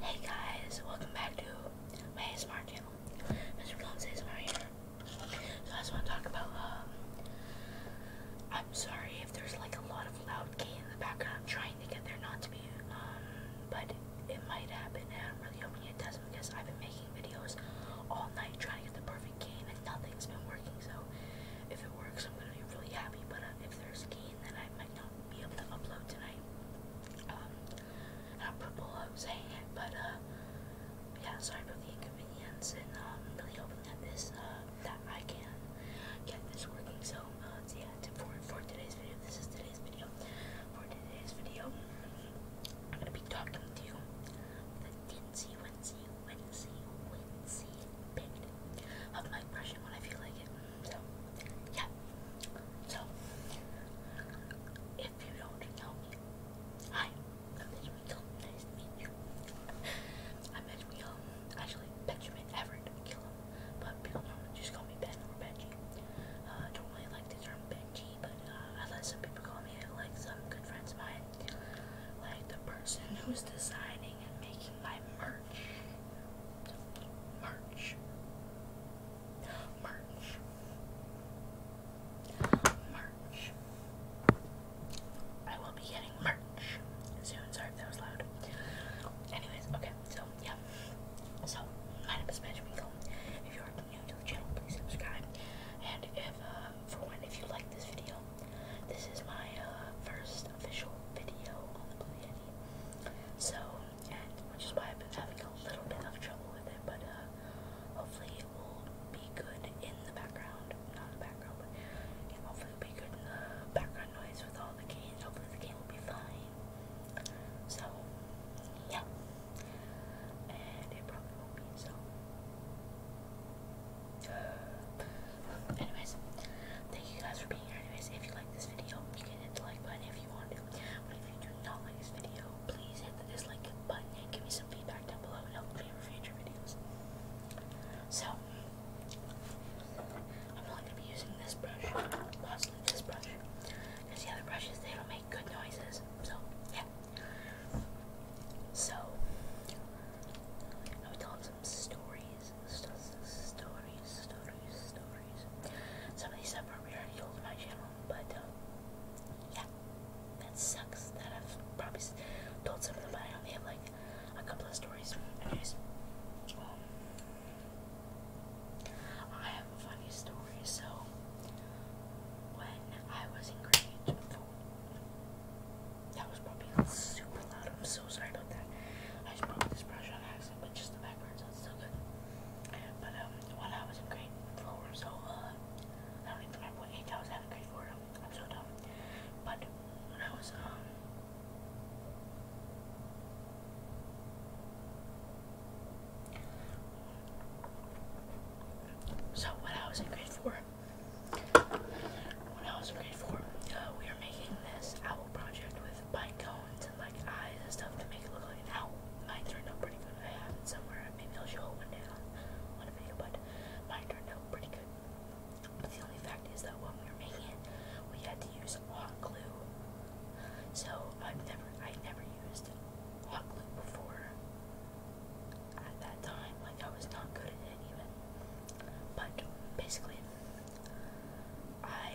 Hey guys, welcome back to my ASMR channel. Mr. Collins ASMR here. So I just want to talk about, um, I'm sorry if there's like a lot of loud gay in the background. trying to get there not to be, um, but it might happen and I'm really hoping it doesn't because I've been making videos all night trying to get the perfect gain and nothing's been working. So if it works, I'm going to be really happy, but uh, if there's gain, then I not be able to upload tonight. Um, not proposing it, but uh, yeah, sorry about the inconvenience, and I'm um, really hoping that this, uh, that I can get this working. So, uh, so yeah, to, for, for today's video, this is today's video. For today's video, I'm gonna be talking to you the Dinsy Wincy Wincy when I feel like it. So, yeah. So, if you don't know me, hi, I'm Mitchell. I'm Actually, Benjamin Everett but people normally just call me Ben or Benji. Uh, I don't really like the term Benji, but uh, I let some people call me it, like some good friends of mine. Like the person who's designing and making my merch. March. March. March. I will be getting merch soon. Sorry if that was loud. Anyways, okay, so yeah. So, my name is Magic If you are new to the channel, please subscribe. And if, uh, for one, if you like this video, this is my uh, first official video on the Blue Yeti. So, and which is why I've been having a little bit of trouble with it, but uh, hopefully it will be good in the background. Not in the background, but hopefully it'll be good in the background noise with all the game. Hopefully the game will be fine. So, yeah. And it probably will be, so anyways, thank you guys for being here. Anyways, if you like this video, you can hit the like button if you want to. But if you do not like this video, please hit the dislike button and give me some feedback down below and help me for future videos. So, I'm not going to be using this brush, possibly this brush, because the other brushes, they don't make good noises. So, yeah. So, I would tell him some stories stories, stories, stories. Some of these are probably already old on my channel, but um, yeah, that sucks that I've probably told some of them, but I only have like a couple of stories. Anyways, um, I have a funny story. So, when I was in grade four, that was probably super loud. I'm so sorry about that. I just broke this brush on accident, but just the background sounds so good. But um, when I was in grade four, so uh, I don't even remember what I was in grade four. I'm so dumb. But when I was um. So when I was in grade four, when I was in grade four, uh, we were making this owl project with pine cones and like eyes and stuff to make it look like an owl. Mine turned out pretty good. I have it somewhere. Maybe I'll show it one day on, on a video, but mine turned out pretty good. But the only fact is that when we were making it, we had to use hot glue. So I've never, I never used hot glue before at that time. Like I was not good at it even. But basically, I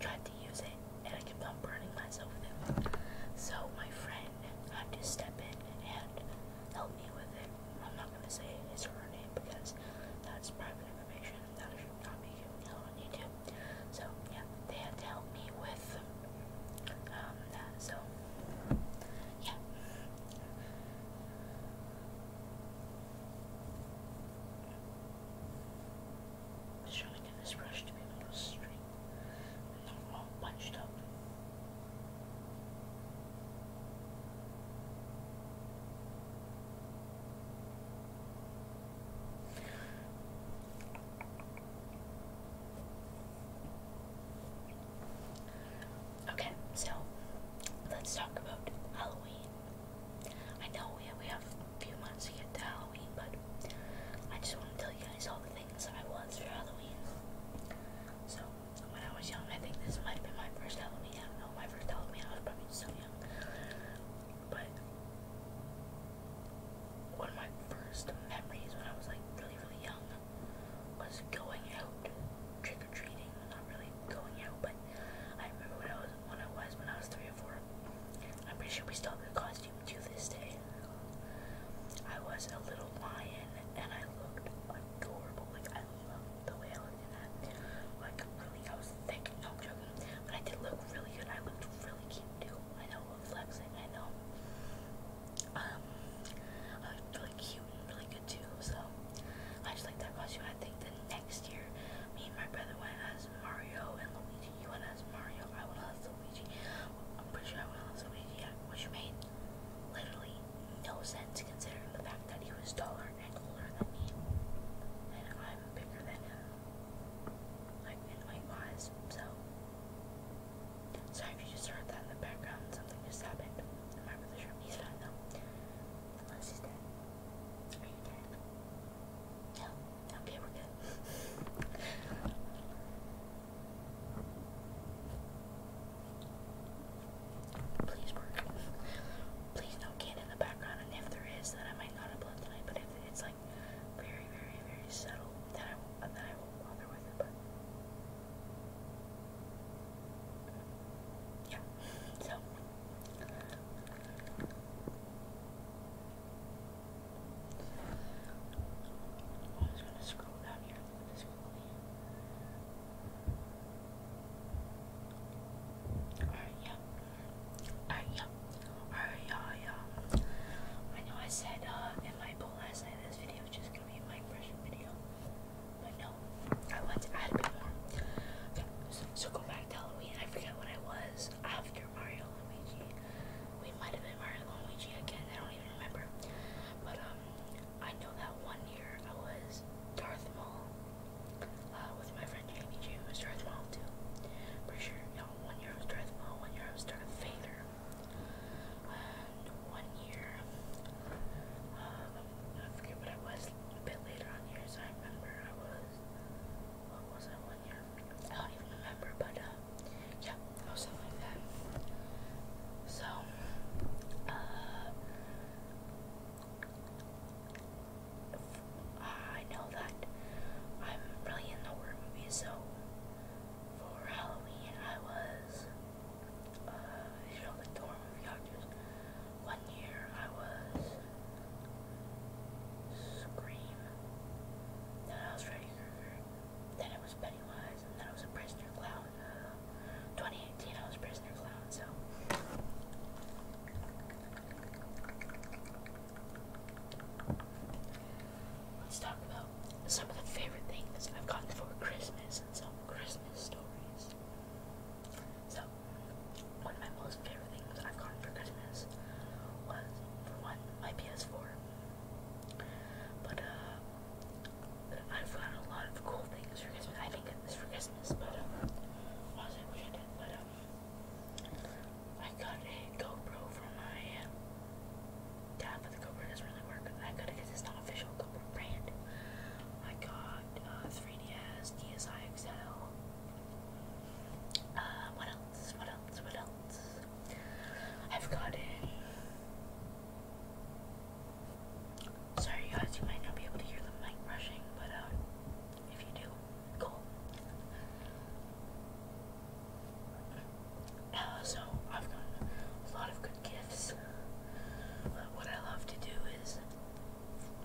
tried to use it and I kept on burning myself with it. So my friend had to step in and help me with it. I'm not gonna say his or her name because that's private information that I should not be giving out on YouTube. So yeah, they had to help me with um that. So yeah. I'm to get this brush to be a little straight not all bunched up. Okay, so let's talk about Halloween. I know we we have a few months to get to Halloween, but I just want to tell you guys all the things I was for Halloween. So when I was young, I think this might have been my first Halloween. I don't know, my first Halloween. I was probably so young, but one of my first memories when I was like really really young was going out trick or treating. Not really going out, but I remember when I was when I was when I was three or four. I'm pretty sure we still have the costume to this day. I was a little lion and I looked adorable. Like I loved the way I looked in that. Like really, I was thick. No, joking. But I did look really good. I looked really cute too. I know, flexing. I know um, really cute and really good too, so I just like that you. I think the next year, me and my brother went as Mario and Luigi. You went as Mario, I went as Luigi. I'm pretty sure I went as Luigi, yeah, which made literally no sense considering the fact that he was taller and older than me, and I'm bigger than him, like in my eyes, so. Sorry if you just heard that in the background. Something just happened. I'm not really sure if he's fine though. Unless he's dead. Are you dead? No. Okay, we're good. Please work. Please no kid in the background. And if there is, then I might not upload tonight. But if it's like very, very, very subtle that I won't, that I will bother with it. But yeah, so. I'm gonna scroll down here and Alright, yeah. Alright, yeah. Araya. I know I said uh, in my poll last night this video is just gonna be my impression video, but no, I want to add more. so, go back to Halloween. I forget what I was after Mario Luigi. We might have been Mario Luigi again. I don't even remember. But um, I know that one year I was Darth Maul uh, with my friend Jamie J. was Darth Maul too. Pretty sure, you know, one year I was Darth Maul, one year I was Darth Vader uh, one year. Um, I forget what I was a bit later on years. I remember I was, what was I one year? I don't even remember, but uh, yeah, I was something like that. So, uh, I know that I'm really in the horror movies, so for Halloween I was, uh, you know, the dorm movie actors. One year I was Scream, then I was Freddy Krueger, then I was Pennywise, and then I was a prisoner clown. Uh, 2018 I was prisoner clown, so Let's talk about some of the favorite things I've gotten for Christmas and some Christmas stories. So, one of my most favorite things I've gotten for Christmas was, for one, my PS4. But, uh, I've gotten a lot of cool things for Christmas. I didn't get this for Christmas, but, uh, honestly, I wish I did, but, uh, I got a GoPro from my um, dad, but the GoPro doesn't really work. I got it it's not official GoPro brand. I got uh, 3DS, DSi XL. Uh, what else? What else? What else? I've gotten. Sorry, guys, you might not be able to hear the mic rushing, but uh, if you do, cool. Uh, so I've gotten a lot of good gifts. But uh, what I love to do is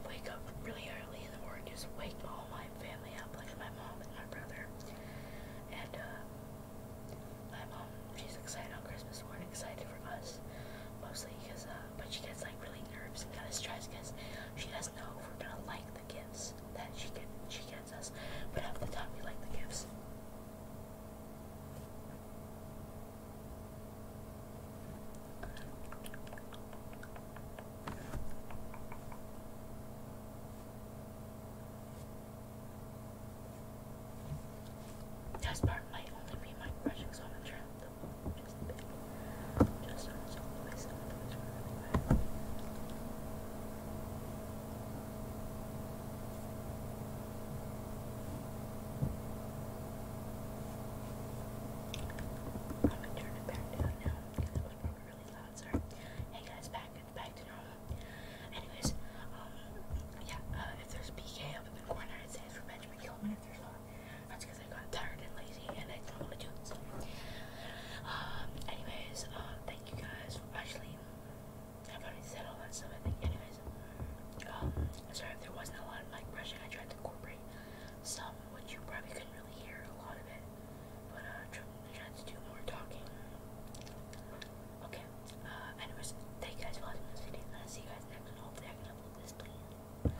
wake up really early in the morning, just wake all my family up, like my mom and my brother. And uh, my mom, she's excited on Christmas morning, excited for us, mostly because, uh, but she gets like really nervous and kind of stressed because she doesn't know if we're gonna like the gifts that she get, she gets us, but at the time we like the gifts. That's part might only be my brushing, so I'm just a I'm gonna turn it back down now because that was probably really loud. Sorry. Hey guys, back back to normal. Anyways, um, yeah. Uh, if there's PK up in the corner, it says revenge, that's because I got tired and lazy and I don't want to do it. Um, anyways, uh, thank you guys for i already said all that stuff, I think. Anyways, um, sorry if there wasn't a lot of mic brushing. I tried to incorporate some, which you probably couldn't really hear a lot of it, but uh, tried to do more talking. Okay, uh, anyways, thank you guys for watching this video, and I'll see you guys next one. Hopefully, I can upload this, please.